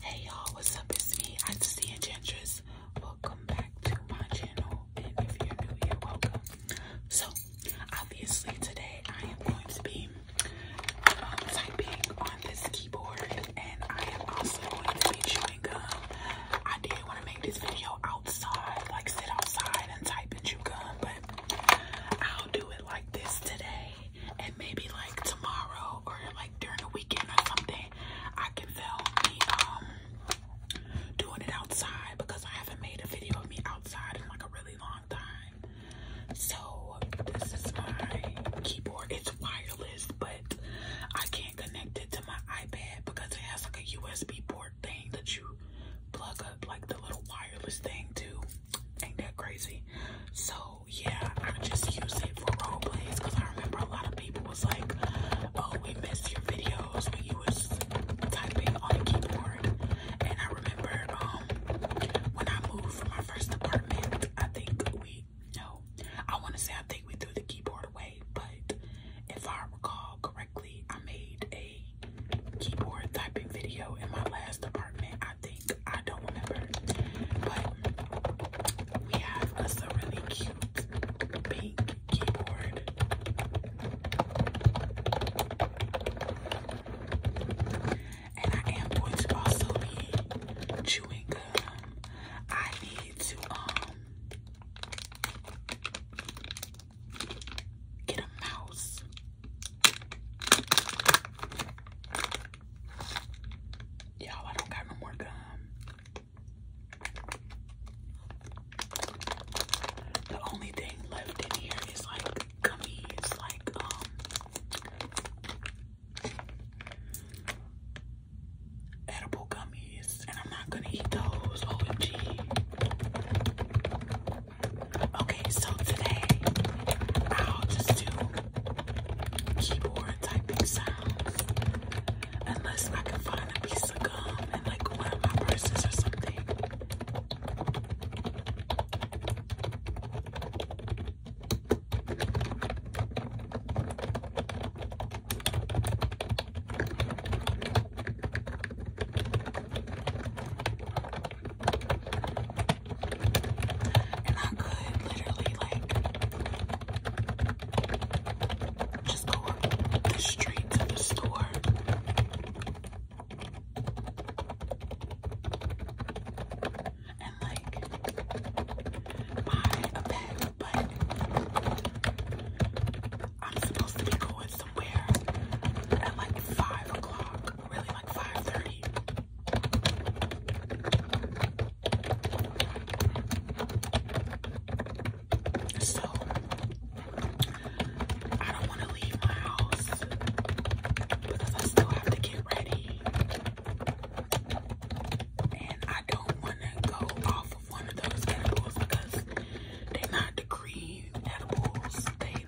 Hey y'all, what's up? It's me, Auntie and Gingers. Welcome back to my channel, and if you're new here, welcome. So, obviously today I am going to be um, typing on this keyboard, and I am also going to be chewing gum. I did want to make this video outside, like sit outside and type and chew gum, but I'll do it like this today and maybe like tomorrow or like during the weekend or something, I can film me um doing it outside because I haven't made a video of me outside in like a really long time. So this is my keyboard. It's wireless, but I can't connect it to my iPad because it has like a USB port thing that you plug up like the little wireless thing too. Ain't that crazy? So yeah, I just use it for role plays because I remember a lot of people was like, "Oh, we missed your videos when you was typing on the keyboard." And I remember um when I moved from my first apartment, I think we no, I want to say I think we threw the keyboard away, but if I recall correctly, I made a keyboard typing video in my last apartment. I think I don't remember. But we have a really cute pink keyboard. And I am going to also be chewing gum. I need to um get a mouse. Y'all, I don't got no more gum. The only thing left in here is like gummies, like um edible gummies, and I'm not gonna eat those. OMG. Okay, so today I'll just do keyboard typing sounds. Unless I can find a piece of gum and like one of my purses or something. And I could literally like just go up the street to the store. And like buy a bag, but I'm supposed to be going somewhere at like five o'clock, really like five thirty. So I don't want to leave my house because I still have to get ready. And I don't want to go off of one of those edibles because they're not the edibles, they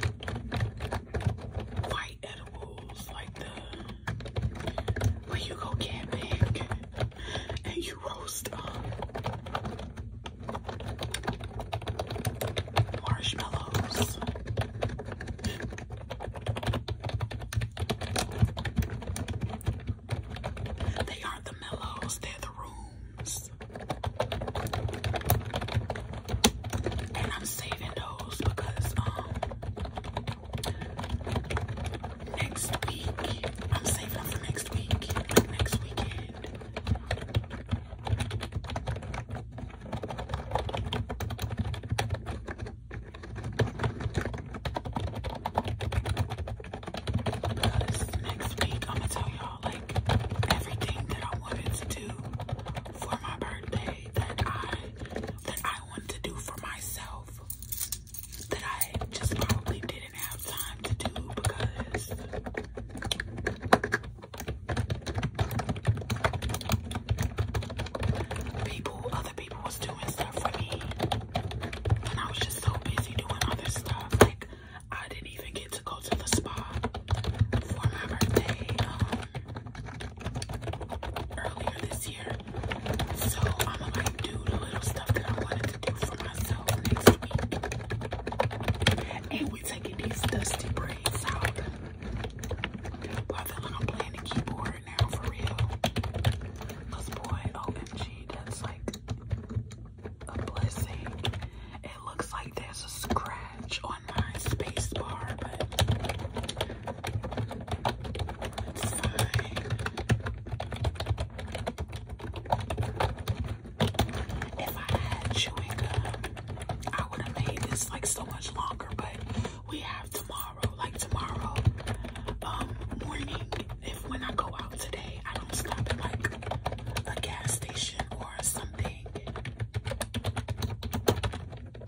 the white edibles, like when you go get and you roast um, marshmallows. They aren't the mellows, they're the rooms. And I'm saving those because um Next week, I'm saving up for next week, next weekend. Because next week, I'm gonna tell y'all like everything that I wanted to do for my birthday that I that I wanted to do for myself that I just probably didn't have time to do because people, other people was doing stuff for me and I was just so busy doing other stuff. Like I didn't even get to go to the spa for my birthday. Um, earlier this year. So I'm gonna like do the little stuff that I wanted to do for myself next week. And we're taking these dusty braids out. Well, I am playing the keyboard now for real. Cause boy, OMG, that's like a blessing. It looks like there's a scratch on my space but if I had chewing I would have made this like so much longer, but we have tomorrow, like tomorrow um, morning. If when I go out today, I don't stop at like a gas station or something. Then,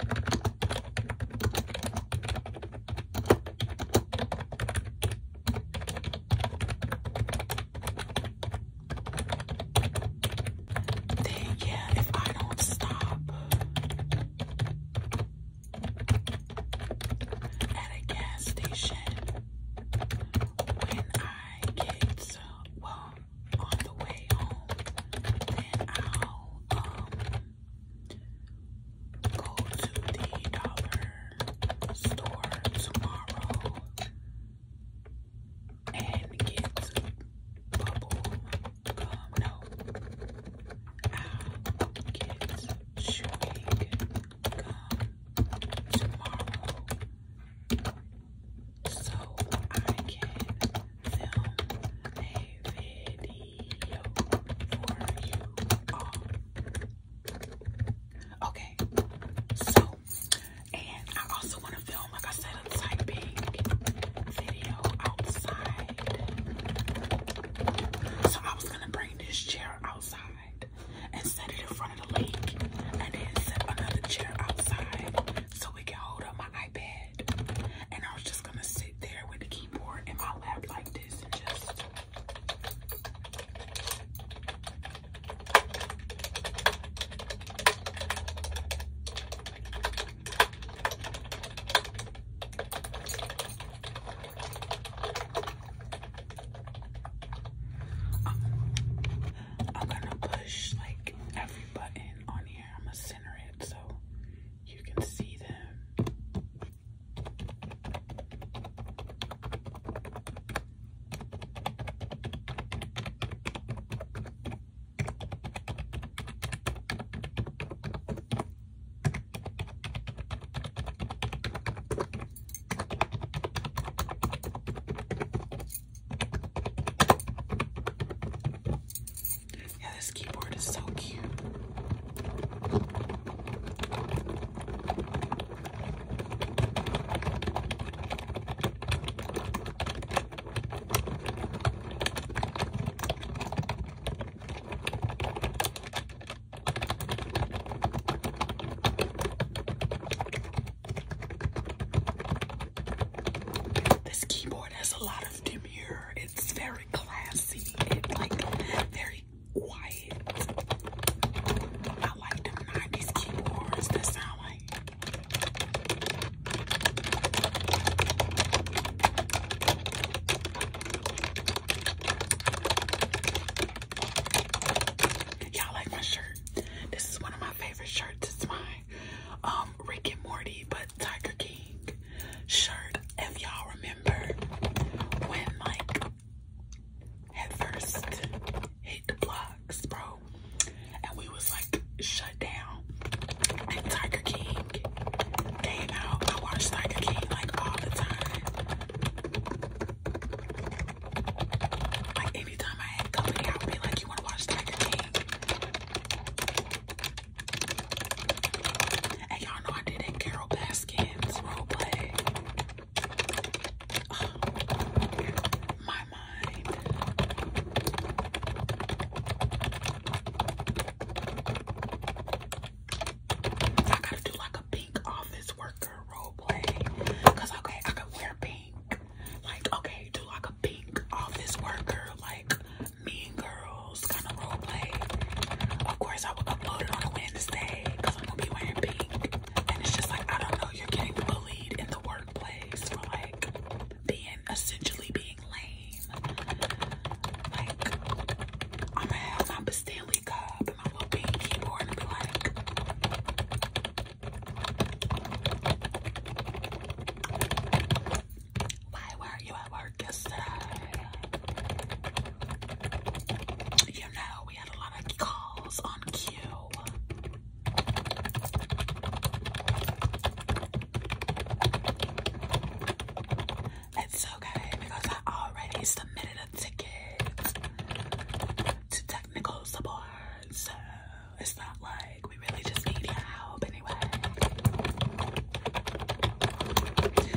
yeah, if I don't stop at a gas station when I get, well, on the way home, then I'll, um, Go to the dollar store tomorrow and get bubble gum. No, i get chewing gum tomorrow so I can film a video. Okay, so, and I also want to film, like I said, a typing video outside. So I was going to bring this chair outside and set it in front of the lake and then set another chair outside so we can hold up my iPad and I was just gonna sit there with the keyboard in my lap like this and just I'm gonna push like every button on here. I'm gonna center it so you can see them this keyboard is so cute. This keyboard has a lot of demure it's very classy It's like very quiet. I like them 90s keyboards that sound like. Y'all like my shirt? This is one of my favorite shirts. It's my um, Rick and Morty, but Tiger King shirt. If y'all remember when like had first hit the blocks, bro, and we was like shut down. And Tiger King came out. I watched Tiger King like all the time. Like anytime I had company, I would be like, "You want to watch Tiger King?" And y'all know I did that Carol Baskins roleplay. Oh, my mind. I gotta do like a pink office worker roleplay. Cause okay, I could wear pink. Like, okay, do like a pink office worker, like Mean Girls kind of role play. Of course, I would upload on a Wednesday because I'm gonna be wearing pink. And it's just like, I don't know, you're getting bullied in the workplace for like being essentially being lame. Like, I'm gonna have my Stanley cup and my little pink keyboard and be like, why were you at work yesterday? You know, we had a lot of calls on cue. It's okay because I already submitted a ticket to technical support, so it's not like we really just need your help anyway.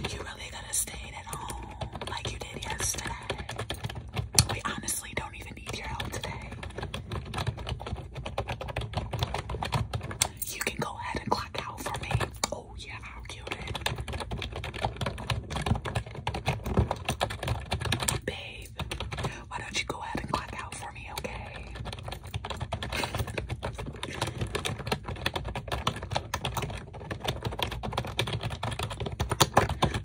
You really could have stayed at home like you did yesterday. We honestly don't even need your help today. You can go ahead and clock out for me. Oh yeah, I'll kill it. Babe, why don't you go ahead and clock out for me, okay?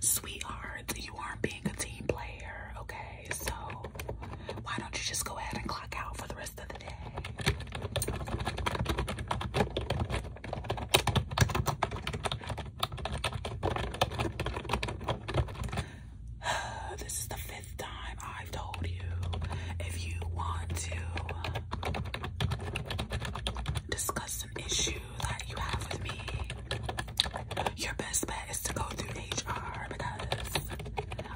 Sweetheart, you aren't being a team player, okay? So why don't you just go ahead and clock out for the rest of the day? This is the fifth time I've told you. If you want to discuss an issue that you have with me, your best bet is to go through HR because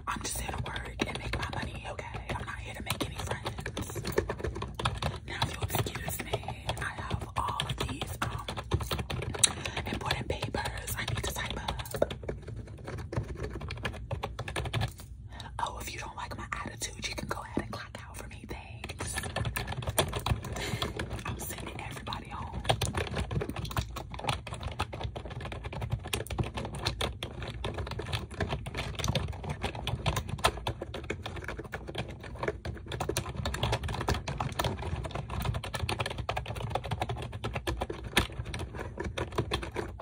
I'm just here to work and make my money, okay? I'm not here to make any friends. Now, if you'll excuse me, I have all of these um, important papers I need to type up. Oh, if you don't like my attitude, you can go ahead and clock out for me. Thanks. I'm sending everybody home.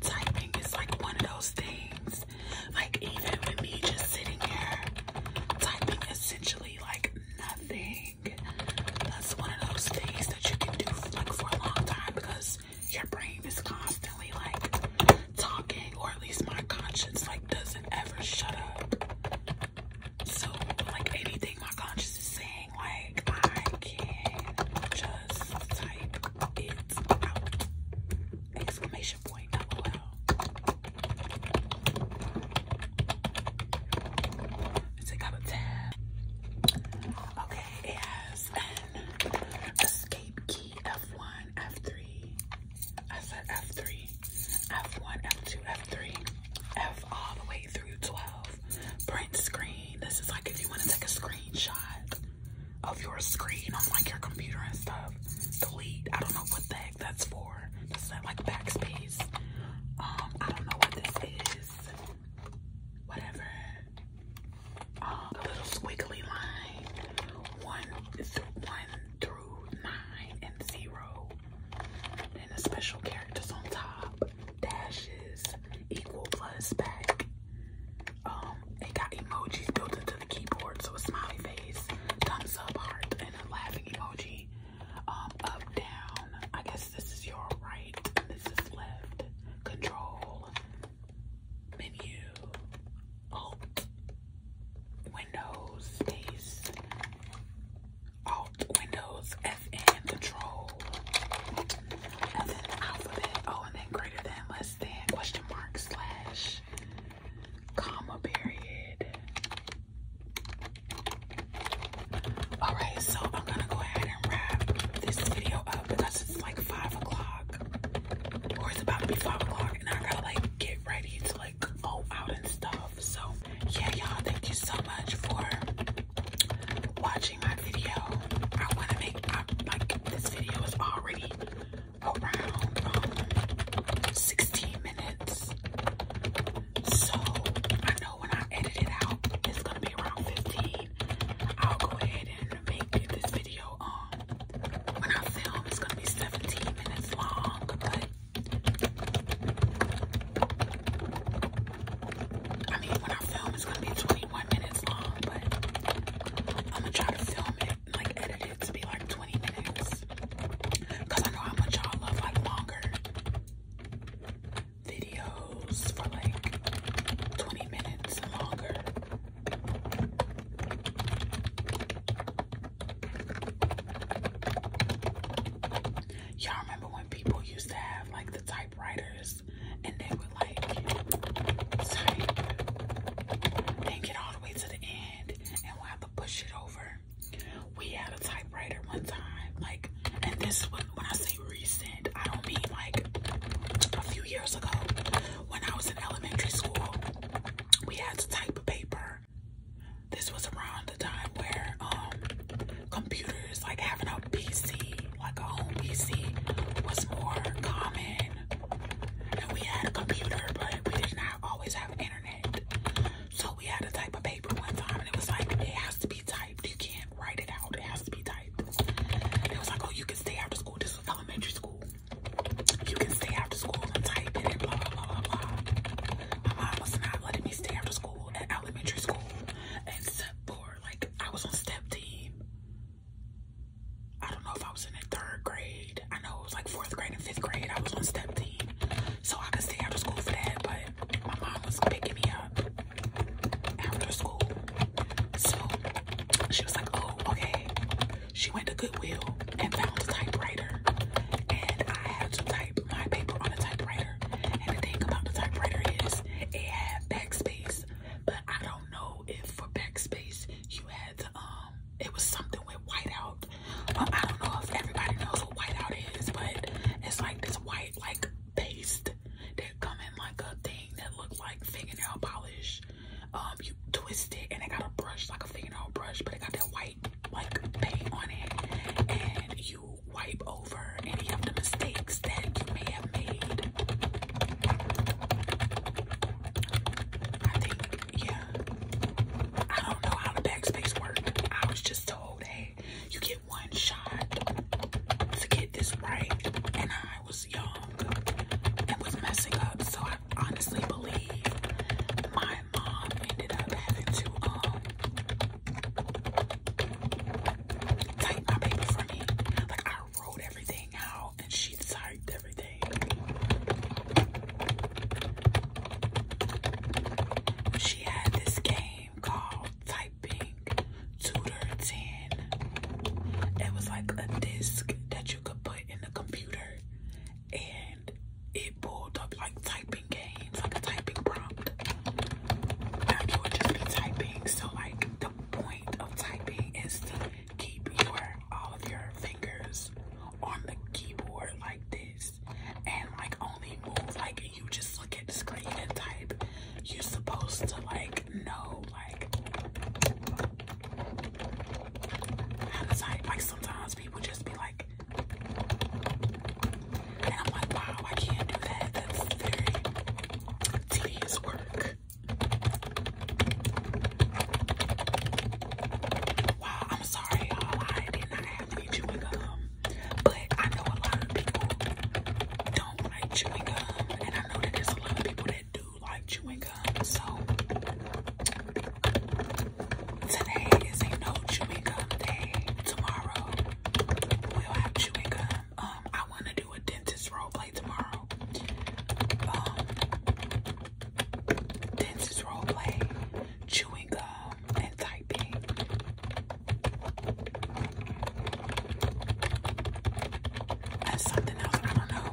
Typing is like one of those things. Like even with me just sitting here, typing essentially like nothing. That's one of those things that you can do like for a long time because your brain is constantly like talking, or at least my conscience like doesn't ever shut up. So like anything my conscience is saying, like I can not just type it out. Exclamation point, lol. Let's take out a tab. Okay, it has an Escape key F1, F3. I said F3. F1, F2, F3. F all the way through 12. Print screen. This is like if you want to take a screenshot of your screen on like your computer and stuff. Delete. I don't know what the heck that's for. That's that like backspace. Um, I don't know what this is. Whatever. A little squiggly line one is one through nine and zero, and the special characters on top dashes equal plus back. Um, it got emojis built into the keyboard, so a smiley face, thumbs up, heart, and a laughing emoji. Um, up, down. I guess this is your right, and this is left. Control, menu, alt, windows, space, alt, windows, FN, control, and then alphabet, oh, and then greater than, less than, question mark, slash, comma, period. Alright, so I'm gonna go ahead and wrap this video up it's like five o'clock or it's about to be five o'clock and I gotta like get ready to like go out and stuff. So yeah, y'all, thank you so much for watching my video. I want to make I, like this video is already around um, 16 minutes. So I know when I edit it out, it's gonna be around 15. I'll go ahead and make this video when I film it's gonna be 17 minutes long I mean when I film it's gonna be 21 minutes long but I'm gonna try to film it and like edit it to be like 20 minutes because I know how much y'all love like longer videos for like 20 minutes longer. Y'all remember when people used to have like the typewriters and they would like type and get all the way to the end and we have to push it over. We had a typewriter one time, like, and this was when I say recent recent. I don't mean like a few years ago. When I was in elementary school, we had to type a paper. This was around the time where um, computers, like having a PC, like a home PC, was more common. And we had a computer, but we did not always have internet. So we had to type a paper one time, and it was like, it has to be typed. You can't write it out. It has to be typed right. was like, oh, you can stay after school. This was elementary school. You can stay after school I'm typing and blah, blah, blah, blah, My mom was not letting me stay after school at elementary school. Except for, like, I was on step team. I don't know if I was in the third grade. I know it was like fourth grade and fifth grade. I was on step team. So I could stay after school for that, but my mom was picking me up after school. So she was like, oh, okay. She went to Goodwill and found a typewriter. And I had to type my paper on a typewriter. And the thing about the typewriter is it had backspace. But I don't know if for backspace you had to, um, it was something with whiteout. But I don't know if everybody knows what whiteout is, but it's like this white, like paste that come in like a thing that looks like fingernail polish. Um, you twist it and it got a brush like a fingernail brush, but it got that white like paint on it, and you wipe over any of the mistakes that you may have made. I think, yeah. I don't know how the backspace worked. I was just told, hey, you get one shot to get this right, and I I was young and was messing up. So I honestly believe my mom ended up having to um type my paper for me. Like I wrote everything out and she typed everything. She had this game called Type pink Tudor It was like a disc that you could put in the computer and it pulled up like typing games, like a typing prompt. Now you would just be typing. So like the point of typing is to keep your all of your fingers on the keyboard like this and like only move like you just look at the screen and type. You're supposed to like no, like, like, sometimes people just be like, and I'm like, wow, I can't do that. That's very tedious work. Wow, I'm sorry, y'all. I did not have chewing gum, but I know a lot of people don't like chewing gum, I know that there's a lot of people that do like chewing gum. So today is a no chewing gum day. Tomorrow we'll have chewing gum. Um, I want to do a dentist role play tomorrow. Um, dentist role play, chewing gum, and typing. That's something else. I don't know.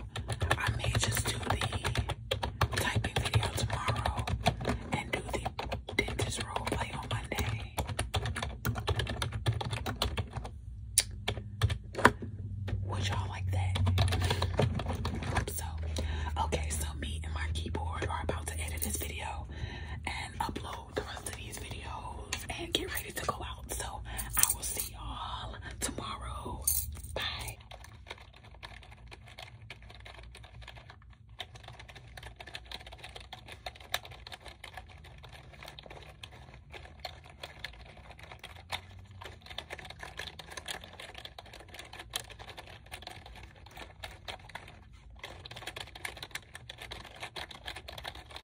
I may just do the typing video tomorrow and do the dentist role play on Monday. Would y'all like that? so. Okay, so me and my keyboard are about to edit this video and upload the rest of these videos and get ready to go out. So I will see y'all tomorrow. Bye.